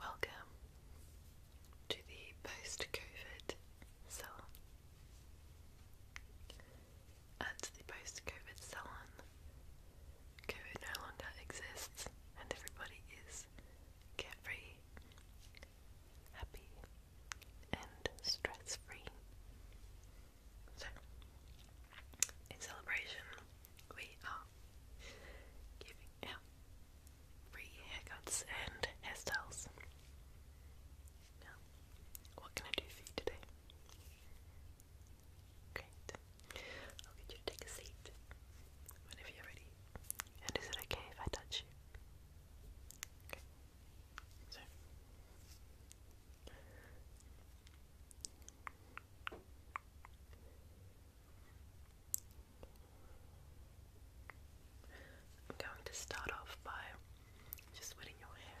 Welcome to the post COVID salon. At the post COVID salon, COVID no longer exists and everybody is carefree, happy, and stress free. So, in celebration, we are giving out free haircuts and hairstyles. what can I do for you today? Great. I'll get you to take a seat whenever you ready. And is it okay if I touch you? Okay. So, I'm going to start off by just wetting your hair.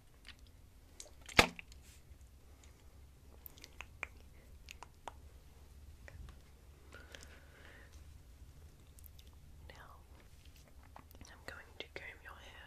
Now I'm going to comb your hair.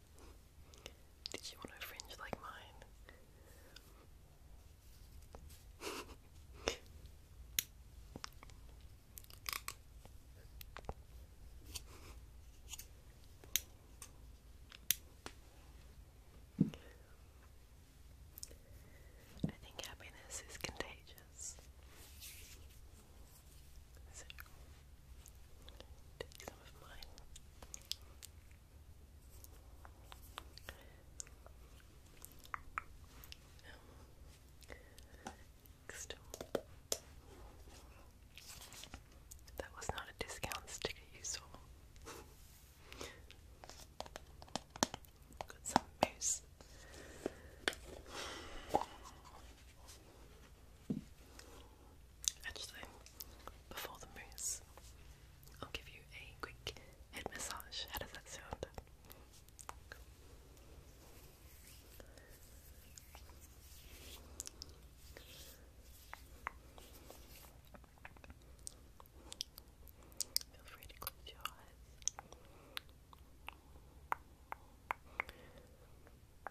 Did you want a fringe like mine? I think happiness is contagious. some of mine. Um, That was not a discount sticker you saw. Got some mousse. Actually, before the mousse, I'll give you a quick head massage. How does that sound? Feel free to close your eyes.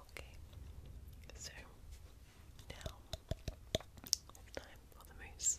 Okay, so now time for the mousse.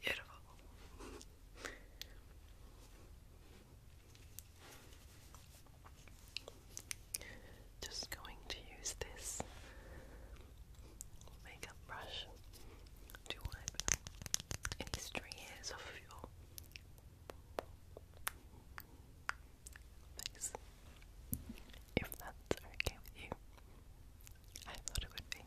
Beautiful. Just going to use this makeup brush to wipe any stray off of your Nice. If that's okay with you, I thought it would be.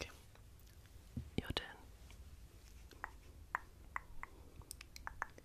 Okay. Your turn.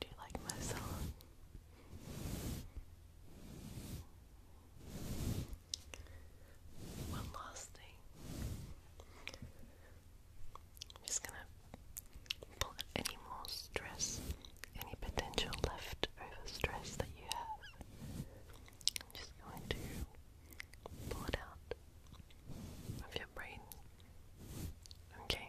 Do you like my song? One last thing. I'm just gonna any more stress, any potential leftover stress that you have. I'm just going to pull it out of your brain. Okay.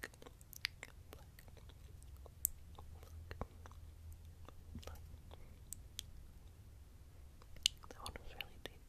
That one was really deep,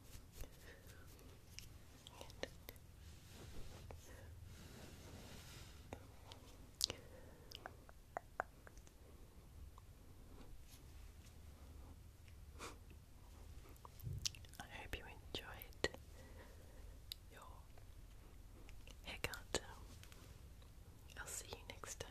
I hope you enjoyed your haircut. I'll see you next time.